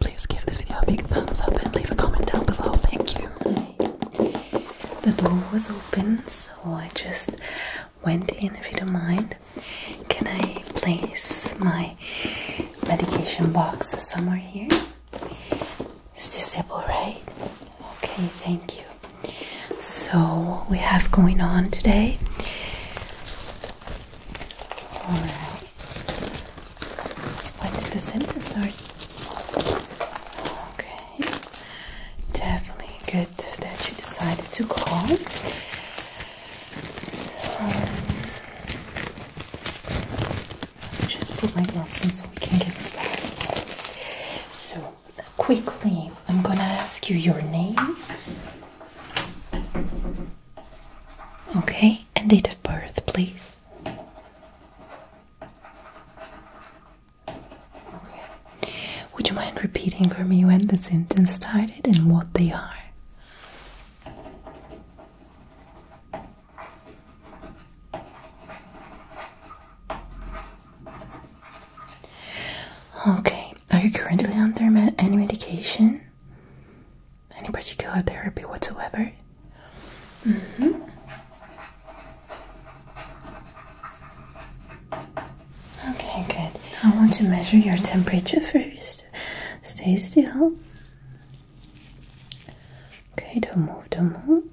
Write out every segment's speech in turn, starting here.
Please give this video a big thumbs up and leave a comment down below. Thank you. The door was open, so I just went in if you don't mind. Can I place my medication box somewhere here? Is this table right? Okay, thank you. So, what we have going on today? Alright, when did the symptoms start? Okay, definitely good that you decided to call. just put my gloves in so we can get started. So, quickly, I'm gonna ask you your name. Okay, and date of birth, please. Would you mind repeating for me when the symptoms started and what they are? Okay, are you currently under any medication? any particular therapy whatsoever? Mm -hmm. Okay, good. I want to measure your temperature first. Stay still. Okay, don't move, don't move.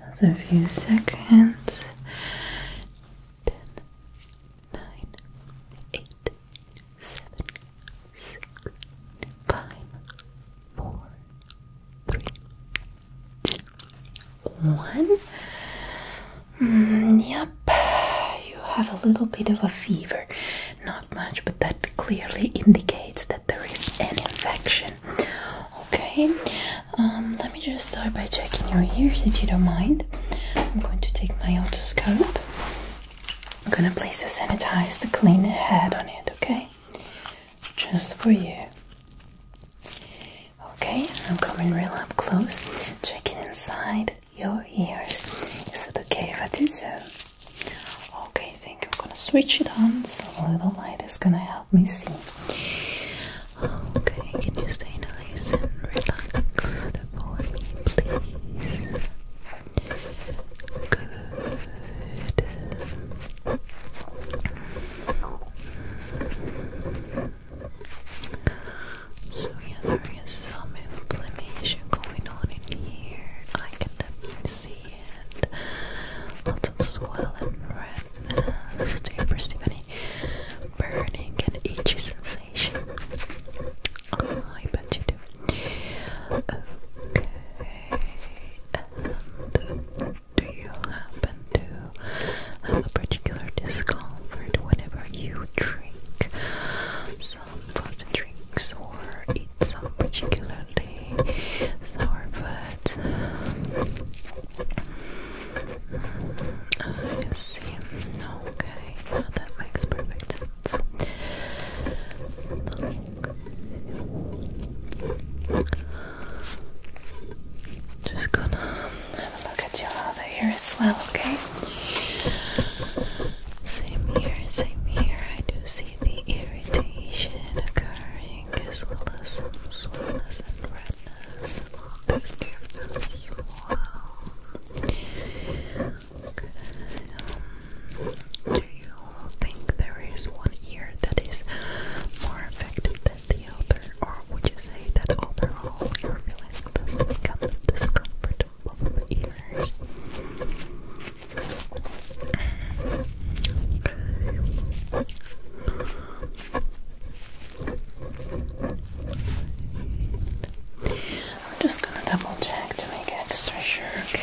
Another few seconds. Ten, nine, eight, seven, five, four, three, two, one. Mm, yep, you have a little bit of a fever. Not much, but that clearly indicates that there is an infection. Okay, um, let me just start by checking your ears if you don't mind. I'm going to take my otoscope I'm gonna place a to clean the head on it, okay? Just for you. Okay, I'm coming real up close, checking inside your ears. Is it okay if I do so? Okay, I think I'm gonna switch it on so a little light is gonna help me see. Okay, can you stay nice and relax for me, please? So yeah, there is some inflammation going on in here. I can definitely see it. Lots of swelling, redness. Do you perceive burning and itchy sensation? Oh, I bet you do. Okay. do you happen to have a particular discomfort whenever you drink some frozen drinks or eat some particularly sour foods? Mm, I see. Okay. Okay, now that makes perfect sense. Just gonna have a look at your other ear as well, okay? Same here, same here. I do see the irritation occurring as well as some soreness and redness. This gives as well. Um, do you think there is one ear that is more affected than the other, or would you say that overall your feelings just become discomfort both ears? I'm just gonna double check to make extra sure, okay?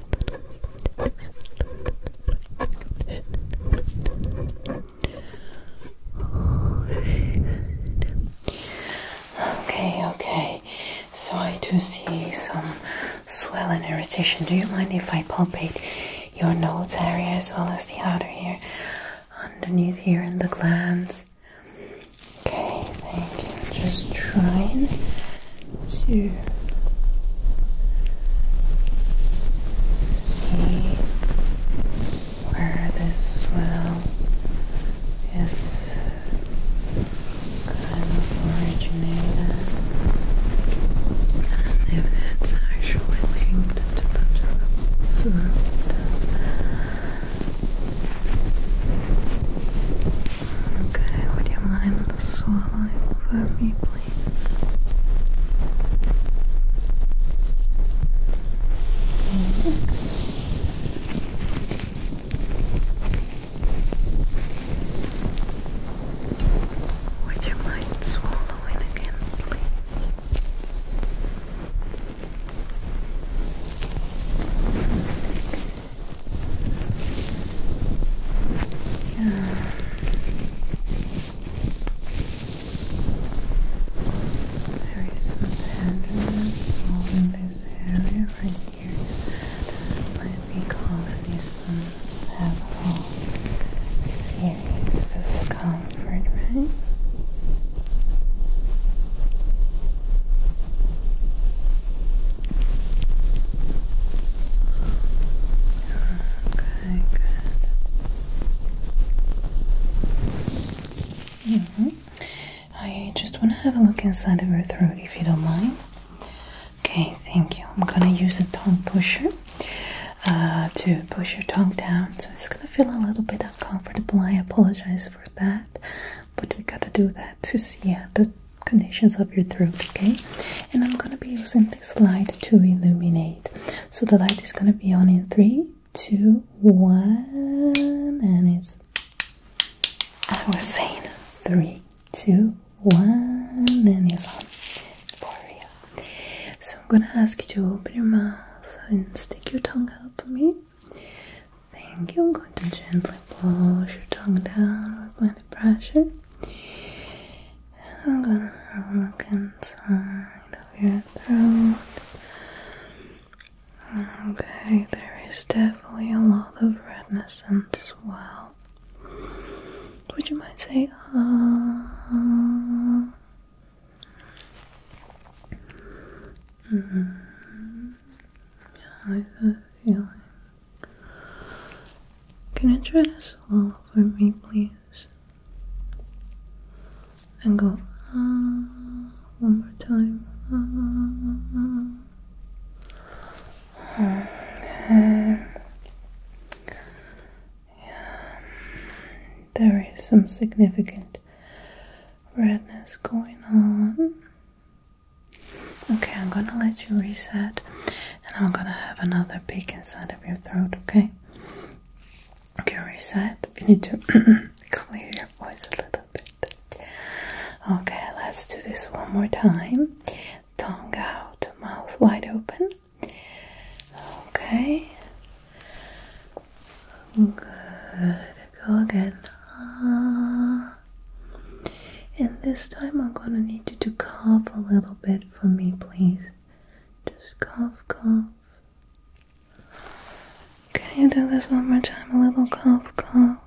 Okay, okay. So I do see some swell and irritation. Do you mind if I palpate your nose area as well as the outer ear, underneath here in the glands? Okay, thank you. Just trying to see where this swell is kind of originated, and if it's actually linked to the root. Okay, would you mind swallowing for me, please? Would you mind swallowing again, there is some tenderness all in this area right here. Let me cause you some serious discomfort, right? Okay good. Mm -hmm. I just want to have a look inside of your throat if you don't mind. Okay, thank you. I'm gonna use a tongue pusher uh, to push your tongue down, so it's gonna feel a little bit uncomfortable. I apologize for that, but we gotta do that to see uh, the conditions of your throat, okay? And I'm gonna be using light to illuminate. So the light is gonna be on in three, two, one, and it's I was saying three, two, one, and it's on for real. So I'm gonna ask you to open your mouth and stick your tongue out for me. Thank you. I'm going to gently push your tongue down with plenty pressure. I'm gonna have a look inside of your throat. Okay, there is definitely a lot of redness and swell. Would you mind saying, ah. Uh, yeah, mm-hmm. I have a can you try to swallow for me, please? And go ah, one more time. Ah. ah, ah, ah. Hmm, yeah. There is some significant redness going on. Okay, I'm gonna let you reset and I'm gonna have another peek inside of your throat, okay? Okay, reset. If you need to clear your voice a little bit. Okay, let's do this one more time. Tongue out, mouth wide open. Okay. Good. Go again. Ah. And this time I'm gonna need you to cough a little bit for me, please. Just cough, cough. Can you do this one more time? A little cough, cough.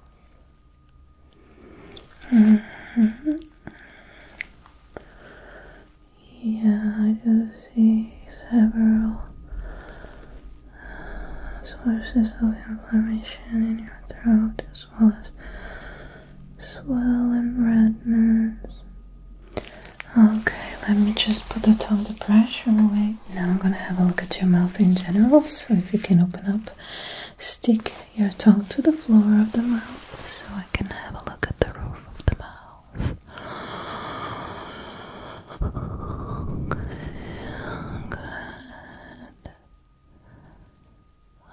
Mm-hmm. Yeah, I do see several sources of inflammation in your throat as as well as swell redness. Okay, let me just put the tongue depression away. Now I'm gonna have a look at your mouth in general. So if you can open up, stick your tongue to the floor of the mouth so I can have a look at the roof of the mouth. good.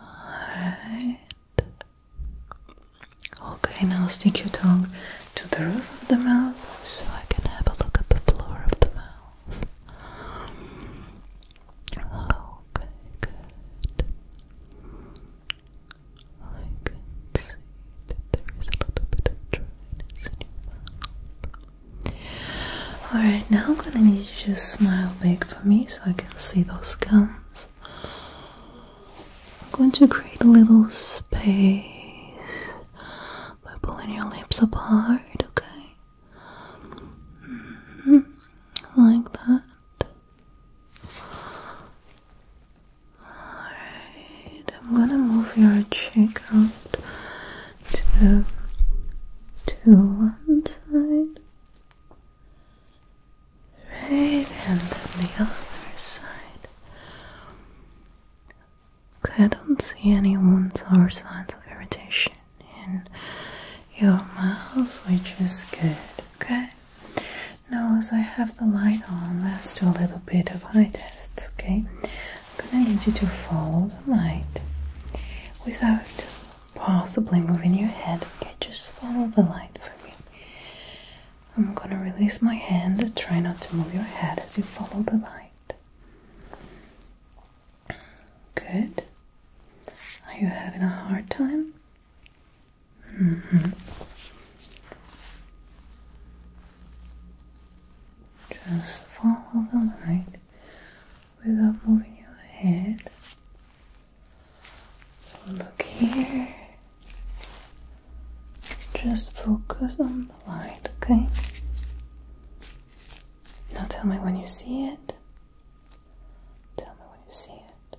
Alright. Okay, now stick your tongue to the roof of the mouth so I can have a look at the floor of the mouth. Okay, good. I can see that there is a little bit of dryness in your mouth. Alright, now I'm gonna need you to smile big for me so I can see those gums. I'm going to create a little space by pulling your lips apart, okay? Mm-hmm. Like that. Alright, I'm gonna move your cheek out to, to one side. Right, and on the other side. I don't see any wounds or signs of irritation in your mouth, which is good. Okay, now as I have the light on, let's do a little bit of eye tests. Okay, I'm gonna need you to follow the light without possibly moving your head. Okay, just follow the light for me. I'm gonna release my hand. Try not to move your head as you follow the light. Good. Are you having a hard time? -hmm. Just follow the light without moving your head. So look here. Just focus on the light, okay? Now tell me when you see it. Tell me when you see it.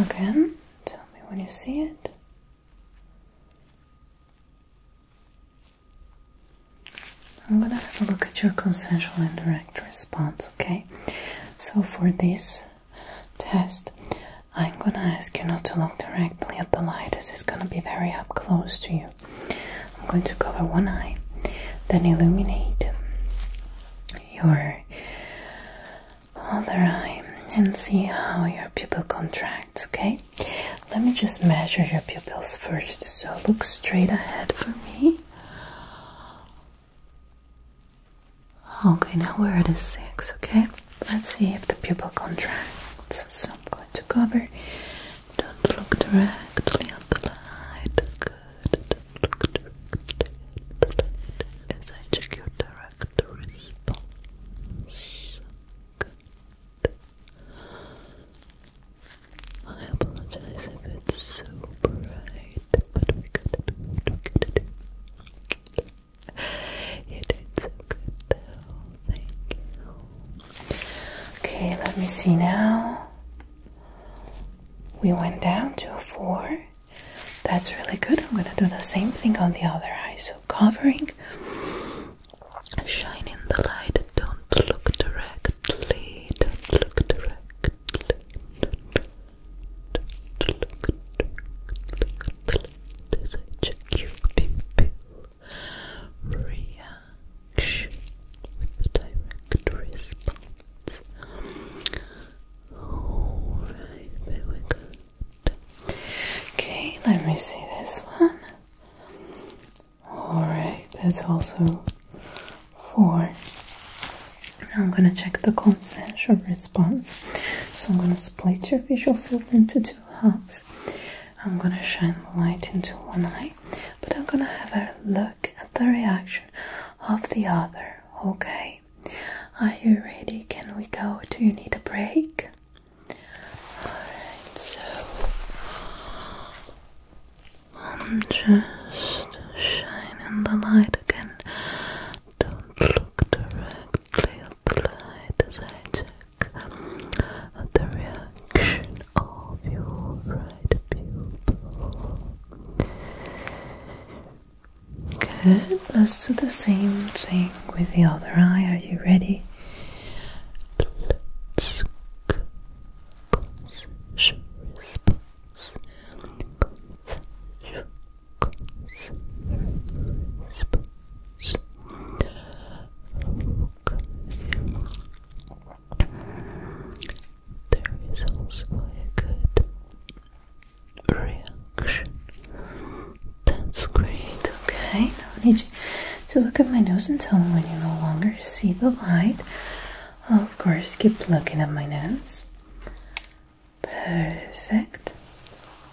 Again, tell me when you see it. I'm gonna have a look at your consensual and direct response, okay? So, for this test, I'm gonna ask you not to look directly at the light, this is gonna be very up close to you. I'm going to cover one eye, then illuminate your other eye and see how your pupil contracts, okay? Let me just measure your pupils first. So, look straight ahead for me. Okay, now we're at a 6, okay? Let's see if the pupil contracts. So I'm going to cover. Don't look directly at the light. Good. As I check your direct response. I apologize if it's so bright, but we gotta do what we gotta do. You did so good though, thank you. Okay, let me see now. We went down to a four. That's really good. I'm gonna do the same thing on the other eye. So covering, shining the light don't look directly. Don't look directly. do I check your pupil reaction with direct response. Okay, let me see this one. Alright, that's also 4. Now I'm gonna check the consensual response. So I'm gonna split your visual field into two halves. I'm gonna shine the light into one eye, but I'm gonna have a look at the reaction of the other. Okay, are you ready? Can we go? Do you need a break? Alright, so I'm just shining the light again. Don't look directly at the light as I check the reaction of your right pupil. Good, let's do the same thing with the other eye. Are you ready? Let's there is also a good reaction. That's great, okay? Now I need you to look at my nose and tell me when you no longer see the light of course keep looking at my nose. Perfect.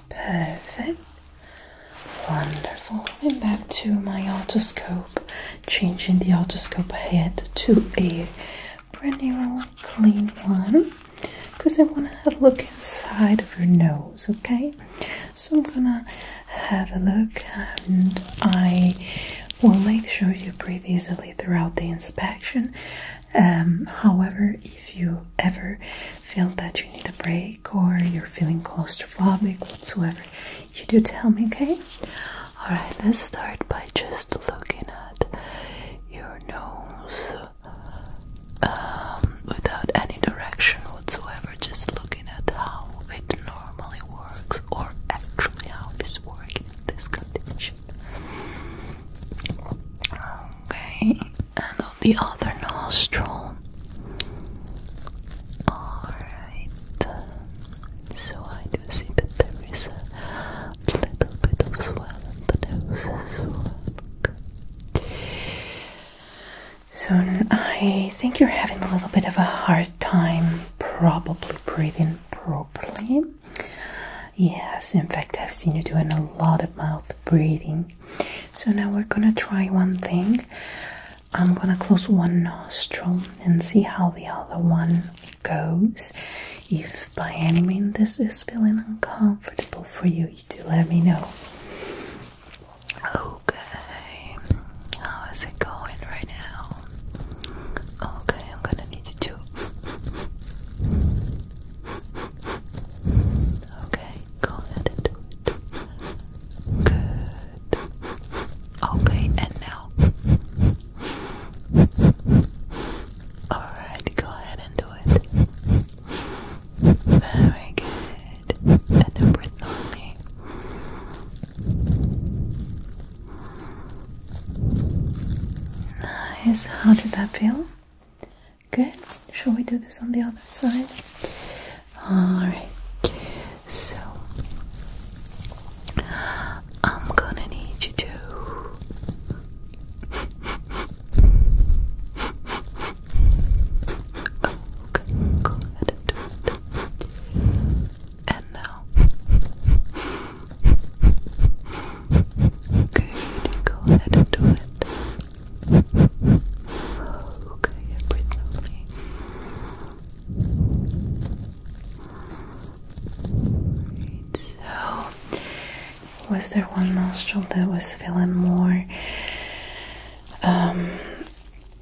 Perfect. Wonderful. And back to my otoscope, changing the otoscope head to a brand new clean one because I want to have a look inside of your nose, okay? So I'm gonna have a look and I will make sure you breathe easily throughout the inspection. Um, however, if you ever feel that you need a break or you're feeling claustrophobic whatsoever, you do tell me, okay? Alright, let's start by just looking at your nose um, without any direction whatsoever, just looking at how it normally works or actually how this works in this condition. Okay, and on the other nostril. Alright, so I do see that there is a little bit of swell the nose as well. So I think you're having a little bit of a hard time probably breathing properly. Yes, in fact, I've seen you doing a lot of mouth breathing. So now we're gonna try one thing. I'm gonna close one nostril and see how the other one goes. If by any means this is feeling uncomfortable for you, you do let me know. Okay, how is it going right now? Okay, I'm gonna need you to. Okay, go ahead and do it. Good. Okay, and now. Alright, go ahead and do it. Very good. And breathe on me. Nice. How did that feel? Good. Shall we do this on the other side? Alright. So I'm gonna need you to and now. okay, go ahead and do it. Okay, breathe normally. so, was there one nostril that was feeling more um,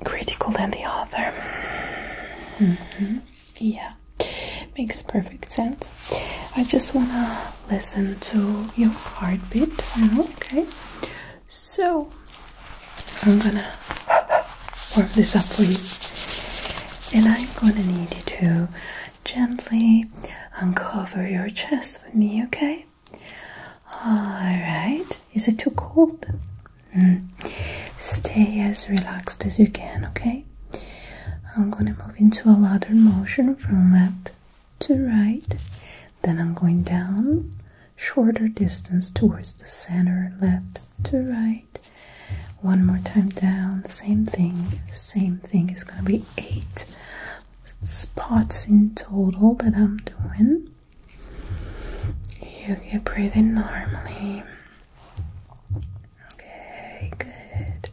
critical than the other? Mm-hmm. Yeah, makes perfect sense. I just wanna listen to your heartbeat okay? So I'm gonna warm this up for you, and I'm gonna need you to gently uncover your chest with me, okay? All right, is it too cold? Hmm. Stay as relaxed as you can, okay? I'm gonna move into a ladder motion from left to right. Then I'm going down shorter distance towards the center, left to right. One more time down, same thing, same thing. It's gonna be eight spots in total that I'm doing. You can breathe in normally. Okay, good.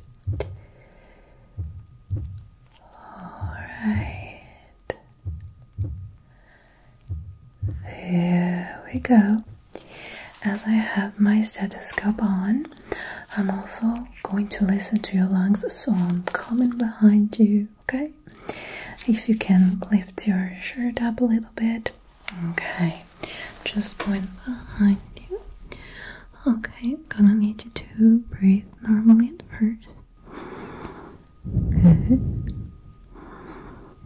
All right. There we go. As I have my stethoscope on, I'm also going to listen to your lungs, so I'm coming behind you, okay? If you can lift your shirt up a little bit, Okay, just going behind you. Okay, gonna need you to breathe normally at first. Good.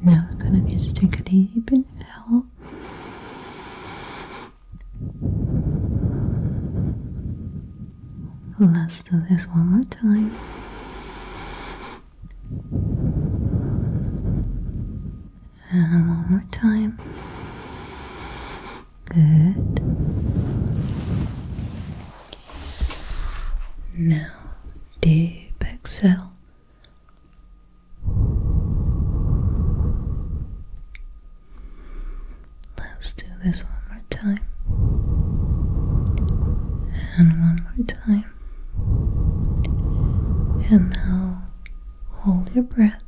Now I'm gonna need to take a deep inhale. Let's do this one more time. And one more time. Good. Now, deep exhale. Let's do this one more time. And one more time. And now hold your breath.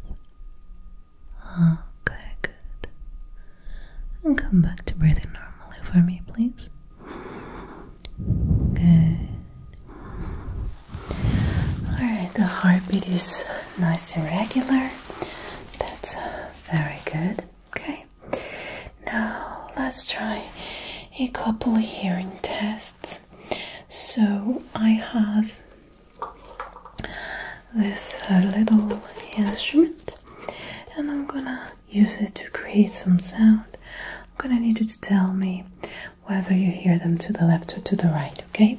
Ah, okay, good. And come back to breathing normally for me, please. Good. Alright, the heartbeat is nice and regular. That's uh, very good. Okay. Now let's try a couple of hearing tests. So I have this uh, little instrument and I'm gonna use it to create some sound. I'm gonna need you to tell me whether you hear them to the left or to the right, okay?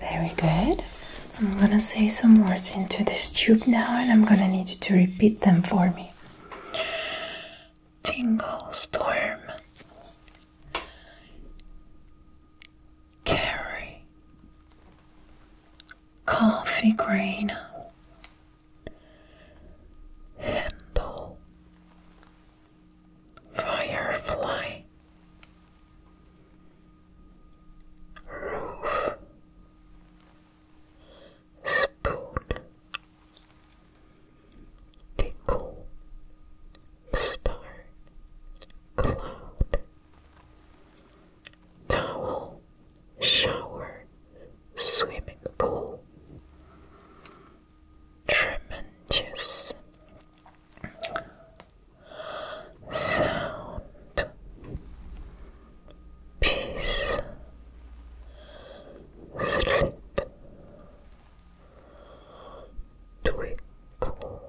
Very good. I'm gonna say some words into this tube now, and I'm gonna need you to repeat them for me. Tingle storm, Carry Coffee green, Handle Firefly Roof Spoon Tickle Star Cloud Towel, shower, swimming pool. Tremendous sound, peace, sleep, twinkle,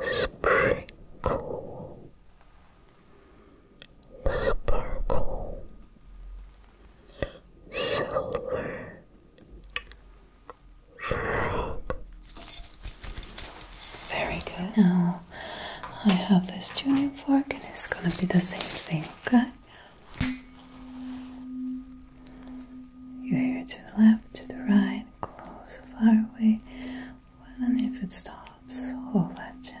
sprinkle, sparkle, silver, frog. Very good. Now I have this tuning fork, and it's gonna be the same thing, okay? Your hair to the left, to the right, close, far away, when if it stops, hold that chance.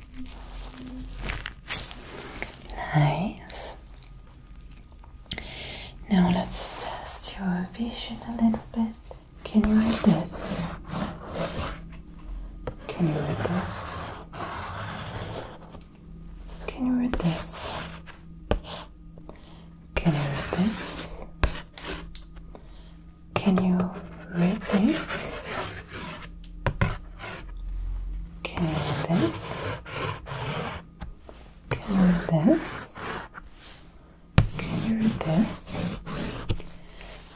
Nice. Now let's test your vision a little bit. Can you read this? Can you read this? Can you read this? Can you read this? Can you read this? Can this? Can this? Can you read this?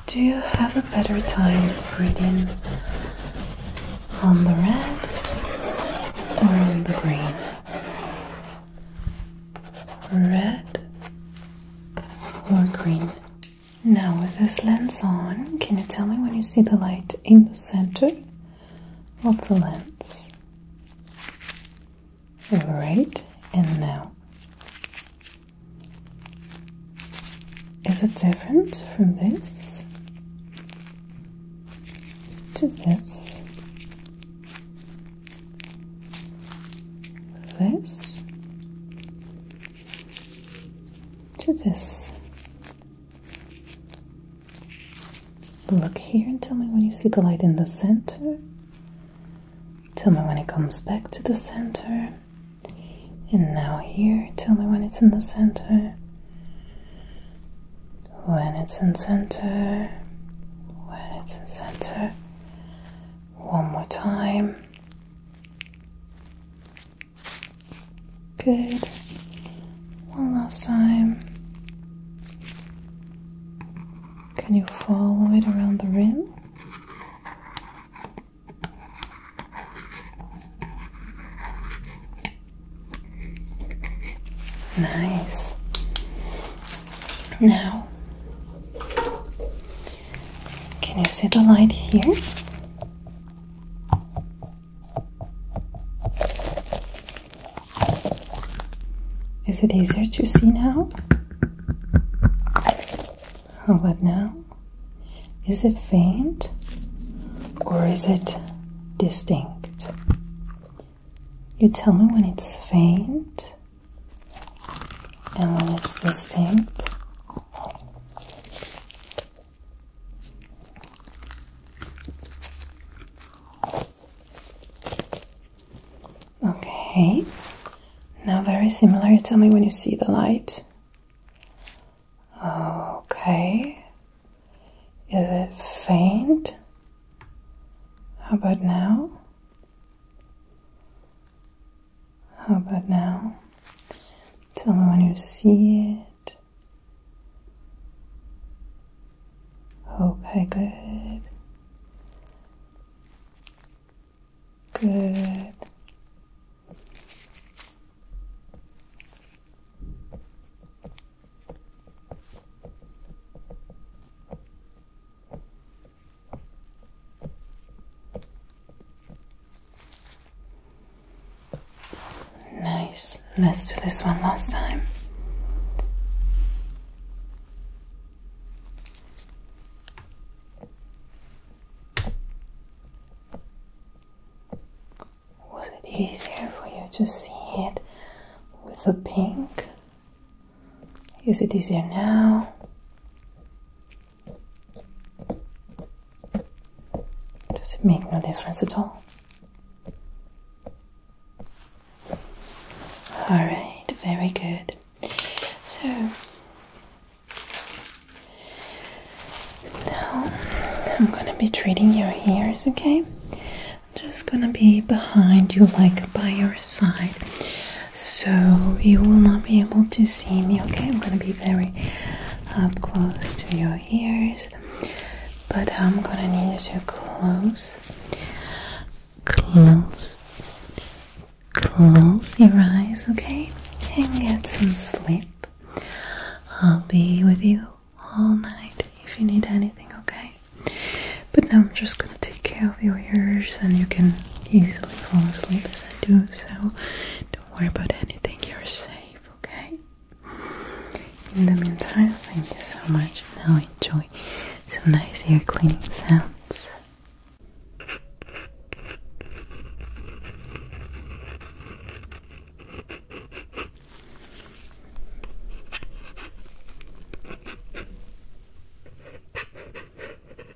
Do you have a better time reading on the red or on the green? Red or green? Now, with this lens on, can you tell me when you see the light in the center of the lens? Alright, and now. Is it different from this to this? This to this. Look here and tell me when you see the light in the center. Tell me when it comes back to the center. And now here, tell me when it's in the center. When it's in center. When it's in center. One more time. Good. One last time. Can you follow it around the rim? Nice. Now, can you see the light here? Is it easier to see now? What now? Is it faint or is it distinct? You tell me when it's faint and when it's distinct. Okay, now very similar. Tell me when you see the light. Okay, is it faint? How about now? How about now? Tell me when you see it. Okay, good. Good. Nice. Let's do this one last time. Was it easier for you to see it with the pink? Is it easier now? Does it make no difference at all? Alright, very good. So now I'm gonna be treating your ears, okay? just gonna be behind you, like by your side, so you will not be able to see me, okay? I'm gonna be very up close to your ears, but I'm gonna need you to close, close, close your eyes, okay, and get some sleep. I'll be with you all night if you need anything, okay? But now I'm just gonna take care of your ears, and you can easily fall asleep as I do, so. Don't worry about anything, you're safe, okay? In the meantime, thank you so much. Now enjoy some nice ear cleaning sounds.